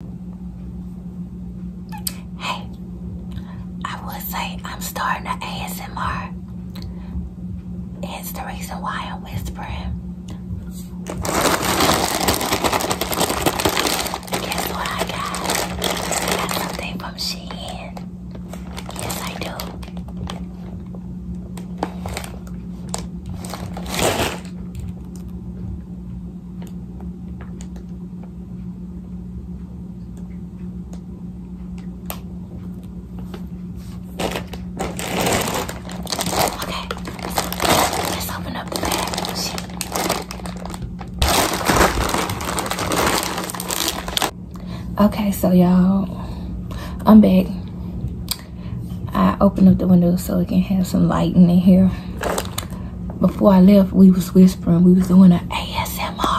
Hey, I would say I'm starting an ASMR. It's the reason why I'm whispering. Guess what I got? I got something from Shein. Yes, I do. Okay, let's open the bag. Okay, so y'all, I'm back. I opened up the window so we can have some light in here before I left, we was whispering. We was doing an ASMR.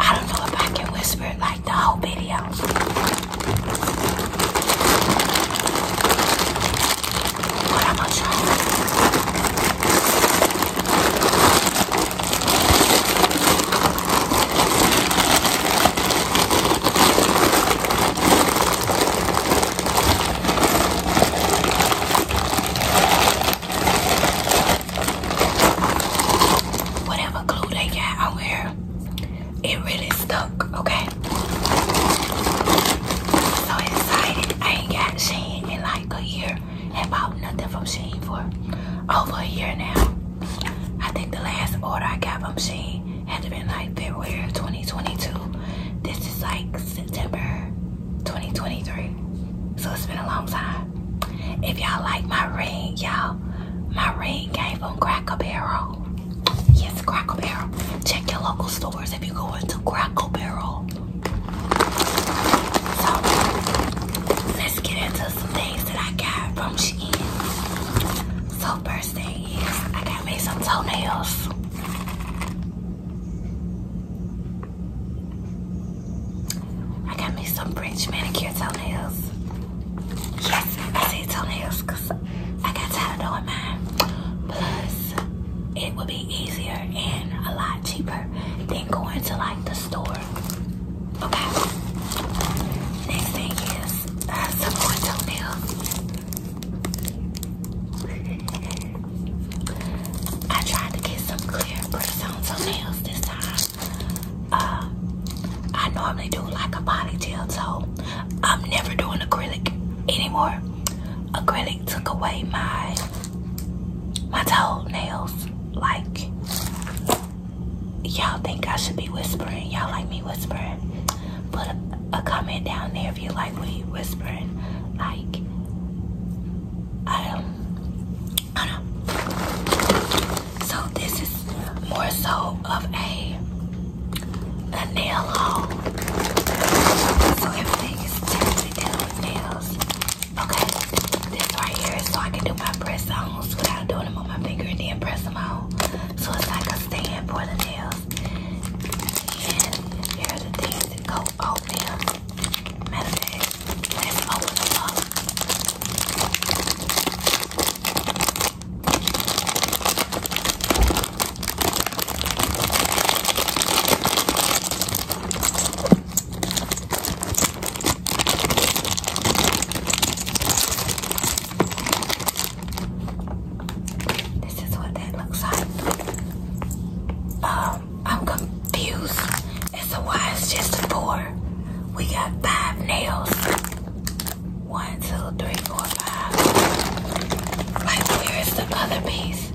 I don't know if I can whisper like the whole video. But am gonna Whatever glue they got on here, it really stuck, okay? so excited. I ain't got Shane in like a year have bought nothing from Sheen for over a year now. I think the last order I got from Sheen had to been like February of 2022. This is like September 2023. So it's been a long time. If y'all like my ring, y'all, my ring came from Cracker Barrel. Yes, Cracker Barrel. Check your local stores if you go into Cracker Barrel. So, let's get into some things that I got from Shein. So first thing is I got me some toenails. I got me some French manicure toenails. Yes, I say toenails because I got tired of doing mine. Plus, it would be easier and a lot cheaper than going to like the store Okay. Next thing is uh, some more toenails. I tried to get some clear prints on toenails this time. Uh, I normally do like a body gel toe. I'm never doing acrylic anymore. Acrylic took away my my toenails like y'all think I should be whispering. Y'all like me whispering. Put a, comment down there if you like me whispering. Like, I don't, I So this is more so of a, a nail haul. So everything is nails. Okay this right here so I can do my press ons without doing them on my finger and then press them on. So it's like a stand for the nails. And the things that go on them. let's open them up. This is what that looks like. Um, I'm confused as to why it's just four. We got five nails. One, two, three, four, five. Like, where is the other piece?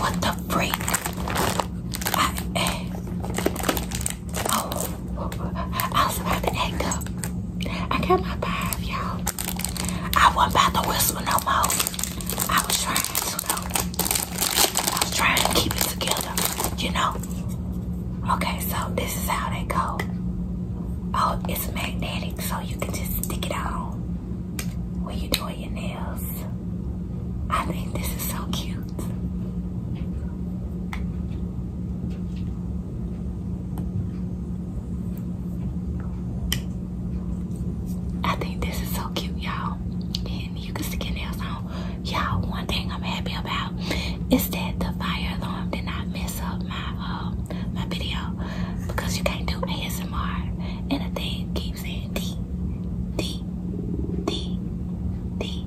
What the freak? I, eh. Oh, I was about to act up. I got my five, y'all. I wasn't about to whisper no more. I was trying to, I was trying to keep it together, you know? Okay, so this is how they go. Oh, it's magnetic, so you can just stick it on when you're doing your nails. I think this is so cute. I think this is so cute, y'all. And you can stick nails on. Y'all, one thing I'm happy about is that the fire alarm did not mess up my uh, my video because you can't do ASMR and the thing keeps saying D, D, D, D.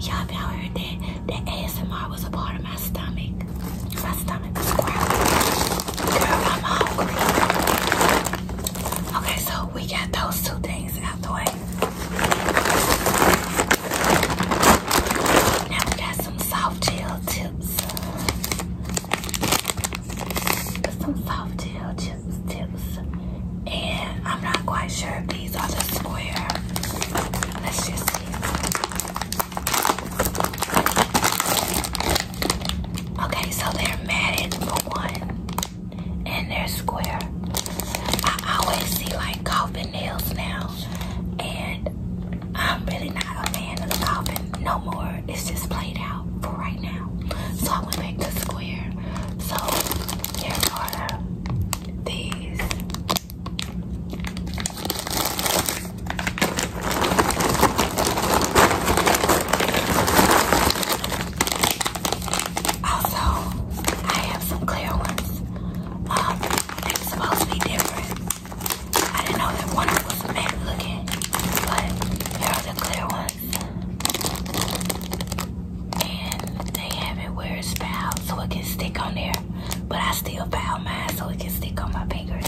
Y'all, y'all heard that? The ASMR was a part of my stomach. My stomach was growling. Girl, I'm hungry. Okay, so we got those two things out the way. Now we got some soft gel tips. Some soft gel chips tips. And I'm not quite sure these are the square. Okay, so they're matted for one, and they're square. I always see like coffin nails now, and I'm really not a fan of coffin no more. It's just played out for right now. So I went back to square. So here are these. Also, I have some clear ones. Um, supposed to be different. I didn't know that one was matte looking, but here are the clear ones. And they have it where it's fouled so it can stick on there but I still found mine so it can stick on my fingers.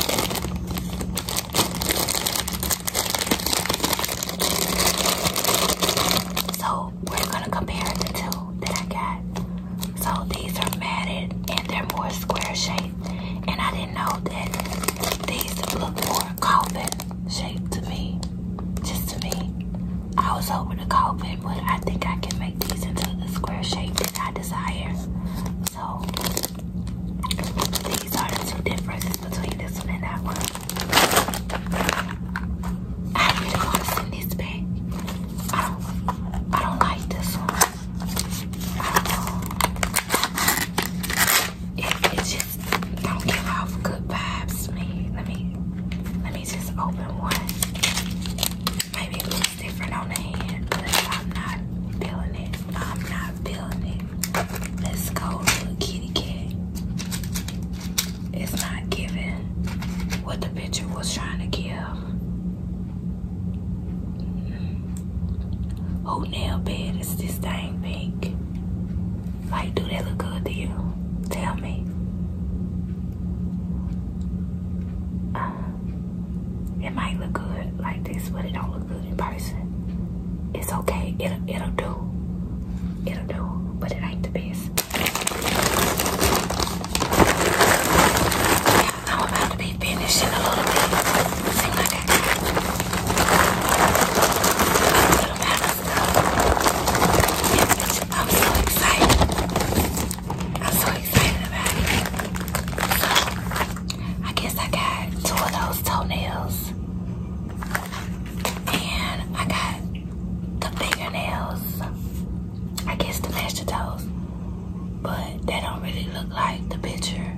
So we're gonna compare the two that I got. So these are matted and they're more square shaped. And I didn't know that these look more coffin shaped to me. Just to me. I was hoping to call it, but I think I can make these into the square shape that I desire. So these are the two differences between this one and that one. I really want to send this back. I don't, I don't like this one. I don't don't give off good vibes me. Let me let just open one. Maybe looks different on the hand, but I'm not feeling it. I'm not feeling it. Let's go, little kitty cat. It's not giving what the picture was trying to give. Oh nail bed is this thing pink? Like, do that look good to you? Tell me. Uh, it might look good like this, but it don't look good in person. It's okay. It'll, it'll do. It'll do, but it ain't the best. I'm about to be finishing a little bit. Seem a little bit I'm so excited. I'm so excited about it. I guess I got two of those toenails. And I got the fingernails. I guess to match toes. But they don't really look like the picture.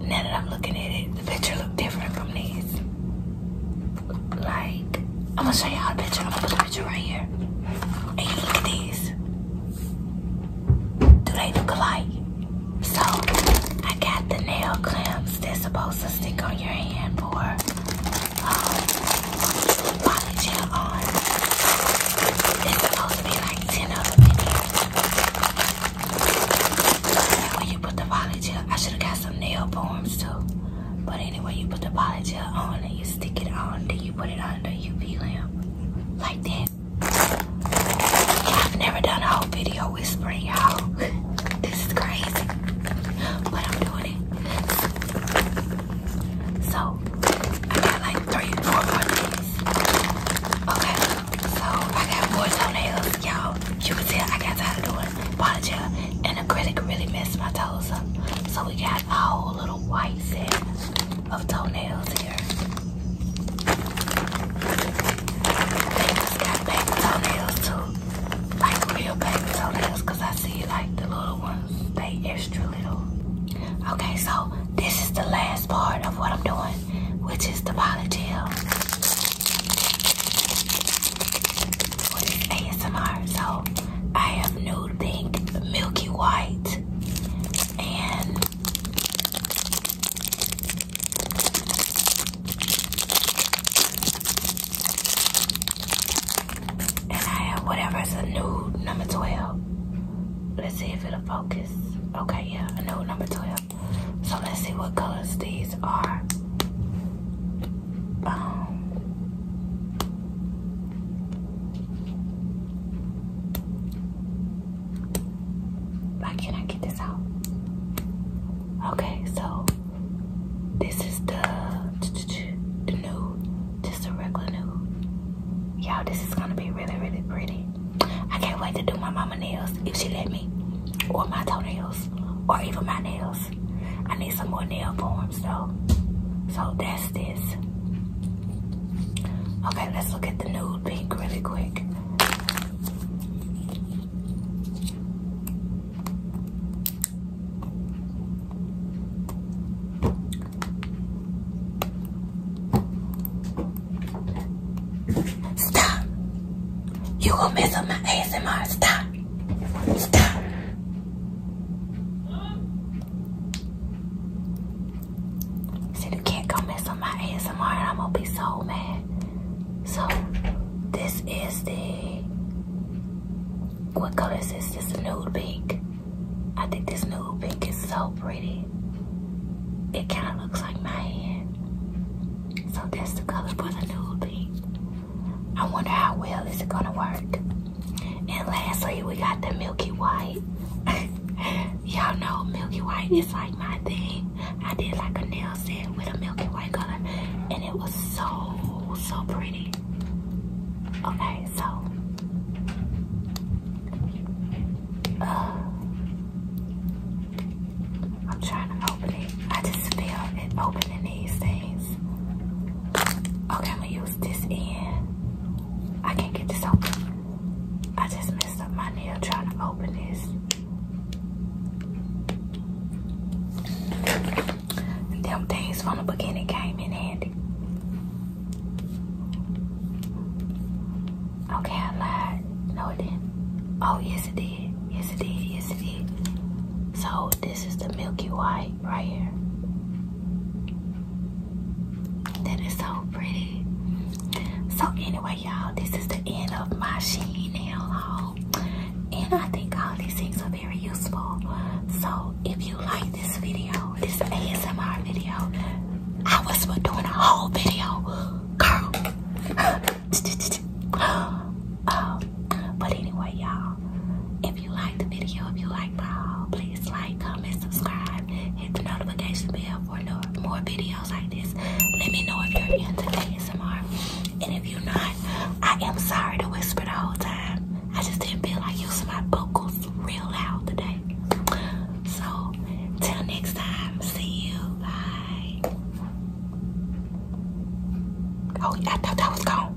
Now that I'm looking at it, the picture looked different from these like I'm gonna show y'all a picture. I'm gonna put the picture right here. And look at these. Do they look alike? So I got the nail clamps that's supposed to stick on your hand for um body gel on. There's supposed to be like 10 of them when you put the body gel, I should have got some nail bombs too. But anyway, you put the poly on and you stick it on, then you put it under, you peel them like that. I've never done a whole video whispering, y'all. this is crazy, but I'm doing it. So I got like three, four more things. Okay, so I got more toenails, y'all. You can tell I got tired of doing poly gel, and acrylic really messed my toes up. So we got that whole little white set of toenails here. They just got baby toenails too. Like real baby toenails because I see like the little ones, they extra little. Okay, so this is the last part of what I'm doing, which is the poly what is ASMR? So I have nude pink, milky white, and and I have whatever is a nude number 12. Let's see if it'll focus. Okay, yeah, a nude number 12. So let's see what colors these are. Um, why can't I get this out? Okay, so this is the, the nude, just a regular nude. Y'all, this is gonna be really, really pretty. I can't wait to do my mama nails if she let me, or my toenails, or even my nails. I need some more nail boom. So, so that's this. Okay, let's look at the nude pink really quick. Stop! You gonna mess up my ASMR. Stop! See, you can't come mess up my ASMR I'm gonna be so mad. So, this is the, what color is this? This nude pink. I think this nude pink is so pretty. It kind of looks like my hand. So that's the color for the nude pink. I wonder how well is it gonna work. And lastly, we got the Milky White. Y'all know Milky White is like my thing. I did like a nail set with a Milky White color, and it was so, so pretty. Okay, so. Uh, I'm trying to open it. I just feel it opening these things. Okay, I'm gonna use this end. I can't get this open. I just messed up my nail trying to open this. Them things from the beginning came in handy. Okay, I lied. No, it didn't. Oh, yes, it did. Yes, it did. Yes, it did. So, this is the Milky White right here. That is so pretty. So anyway, y'all, this is the end of my Shein nail haul. And I think all these things are very useful. So if you like this video, this ASMR video, I was doing a whole video, girl. Um, but anyway, y'all, if you like the video, if you like my haul, please like, comment, subscribe, hit the notification bell for more videos like this. Let me know if you're into ASMR. And if you're not, I am sorry to whisper the whole time. I just didn't feel like using my vocals real loud today. So, till next time, see you. Bye. Oh, I thought that was gone.